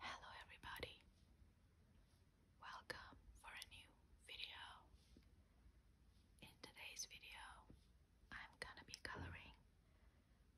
Hello everybody. Welcome for a new video. In today's video, I'm gonna be coloring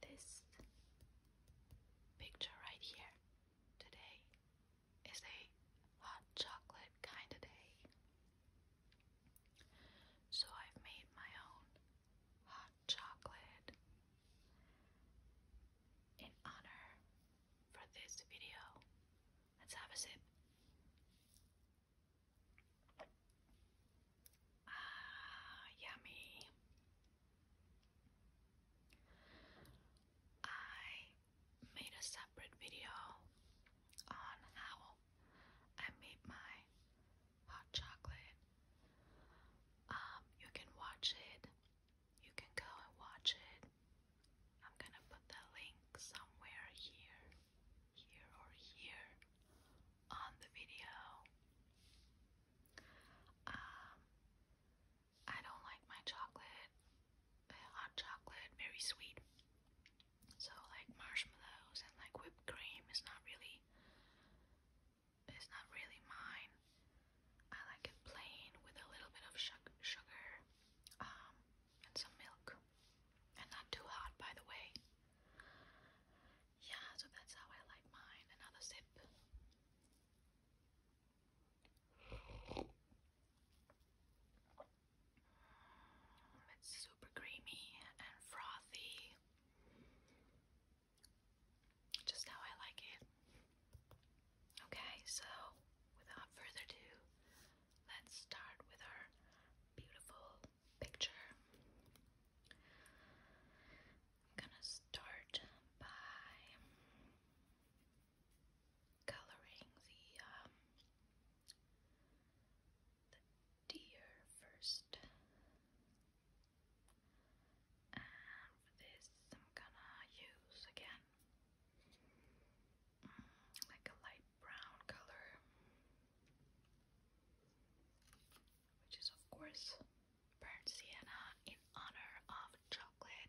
this picture right here. Today is a hot chocolate kind of day. So I've made my own hot chocolate. In honor for this video, let's have a sip. Ah, yummy. I made a separate video on how I made my hot chocolate. Um, you can watch it. You can go and watch it. I'm gonna put the link somewhere here, here, or here on the video. Um, I don't like my chocolate, uh, hot chocolate, very sweet. So, like marshmallows and like whipped cream is not really it's not really mine. I like it plain with a little bit of sugar um, and some milk. And not too hot, by the way. Yeah, so that's how I like mine. Another sip. Mm, it's super creamy and frothy just how I like it. Okay, so without further ado, let's start with our beautiful picture. I'm gonna start by coloring the um, the deer first for this I'm gonna use again mm, like a light brown color which is of course burnt sienna in honor of chocolate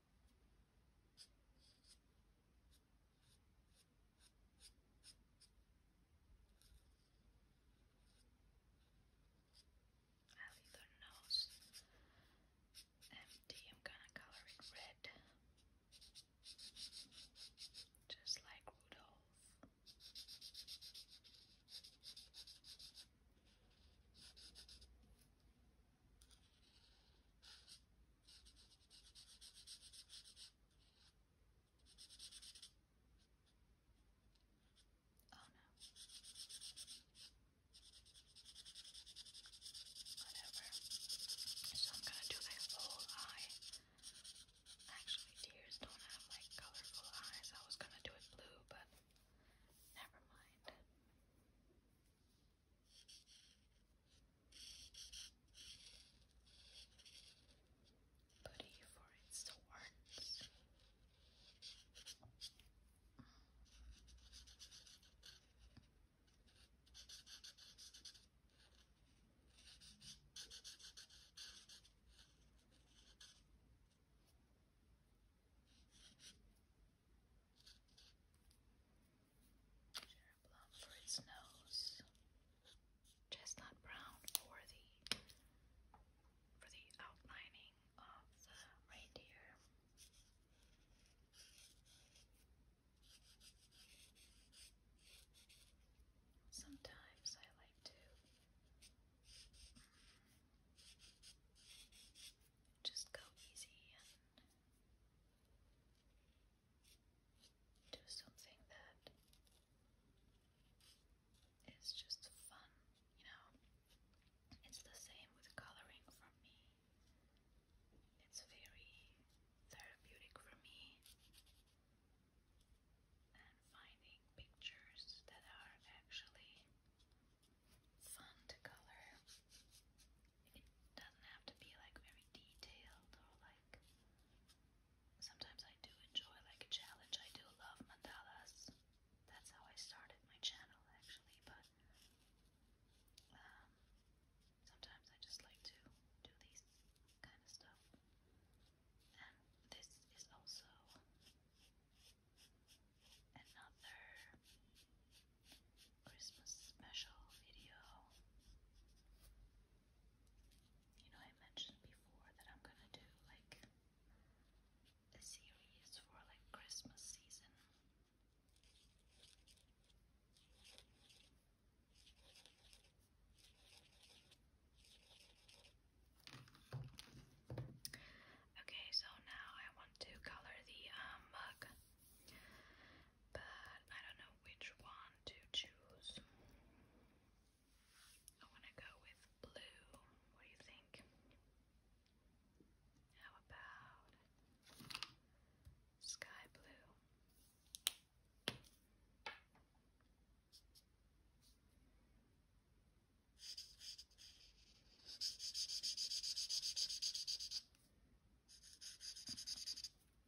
I leave her nose empty. I'm gonna color it red, just like Rudolph. Oh no. Whatever. So I'm gonna do my whole eye. Actually, tears don't have like colorful eyes. I was gonna do it blue, but never mind. Putty for its thorns. Cheddar Blum for its nose. Chestnut Brown for the for the outlining of the reindeer. Sometimes I like to mm, just go easy and do something that is just fun, you know. It's the same with coloring for me. It's very therapeutic for me. And finding pictures that are actually fun to color it doesn't have to be like very detailed or like. Sometimes I do enjoy like a challenge. I do love mandalas. That's how I started my channel actually, but um, sometimes I just like to do these kind of stuff. And this is also another Christmas special video. You know, I mentioned before that I'm gonna do like a series for like Christmas season. Okay, so now I want to color the um, mug but I don't know which one to choose. I want to go with blue. What do you think? How about sky blue?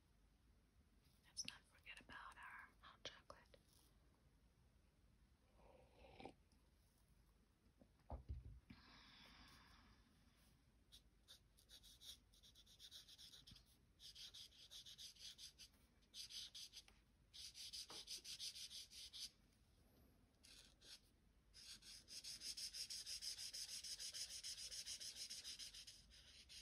Let's not forget about our hot chocolate.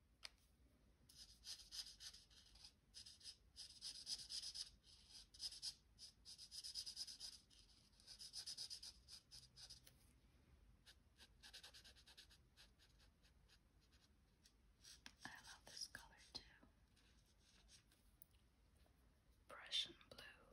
I love this color too. Prussian blue.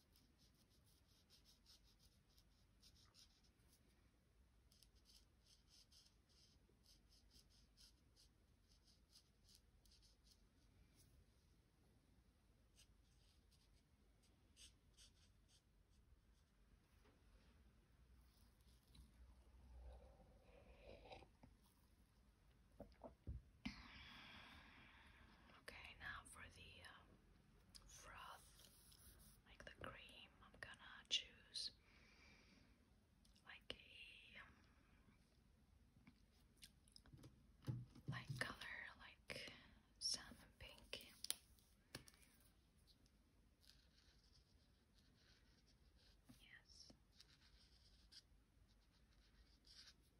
Okay, now for the um, froth, like the cream, I'm gonna choose like a light color, like salmon pink. Yes.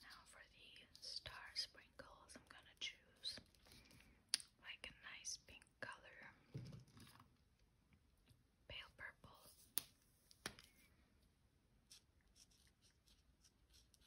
Now for the star sprinkles, I'm gonna choose like a nice pink color, pale purple. Now for the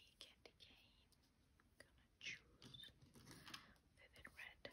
candy cane, gonna choose vivid red.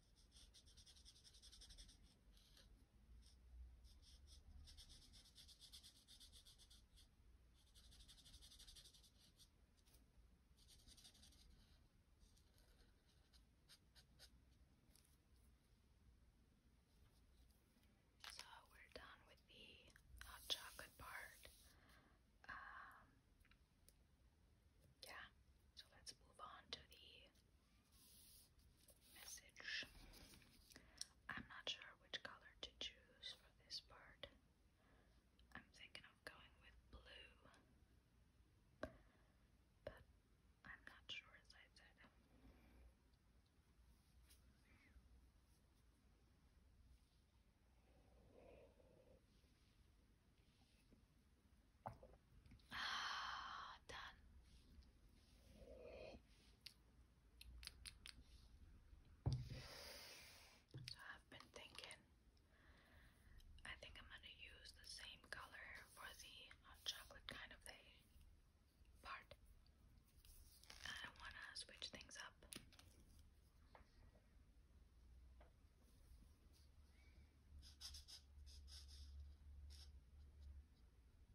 So we're done with the hot chocolate part. Um, yeah, so let's move on to the message. I'm not sure which color to choose for this part. I'm thinking of going with blue, but I'm not sure as I said. Ah, done. So I've been thinking, I think I'm gonna use the same color for the hot chocolate kind of thing part. I don't wanna switch things up.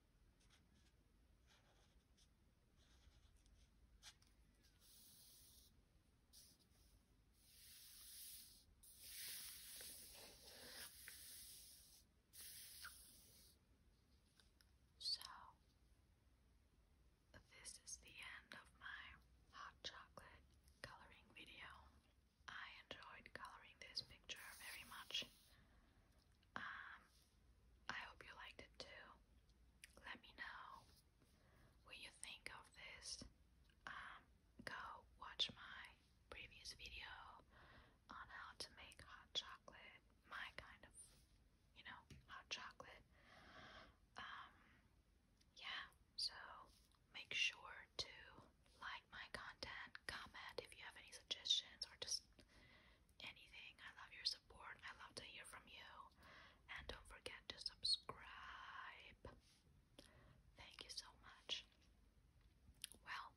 So, this is the end of my hot chocolate coloring video. I enjoyed coloring this picture very much. Um, I hope you liked it too. Let me know what you think of this. Um, go watch my previous video on how to make hot chocolate, my kind of, you know, hot chocolate. Um, yeah, so make sure to like my content, comment if you have any suggestions or just anything. I love your support. I love to hear from you. And don't forget to subscribe. Thank you so much. Well,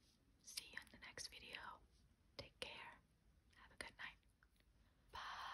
see you in the next video. Take care. Have a good night. Bye.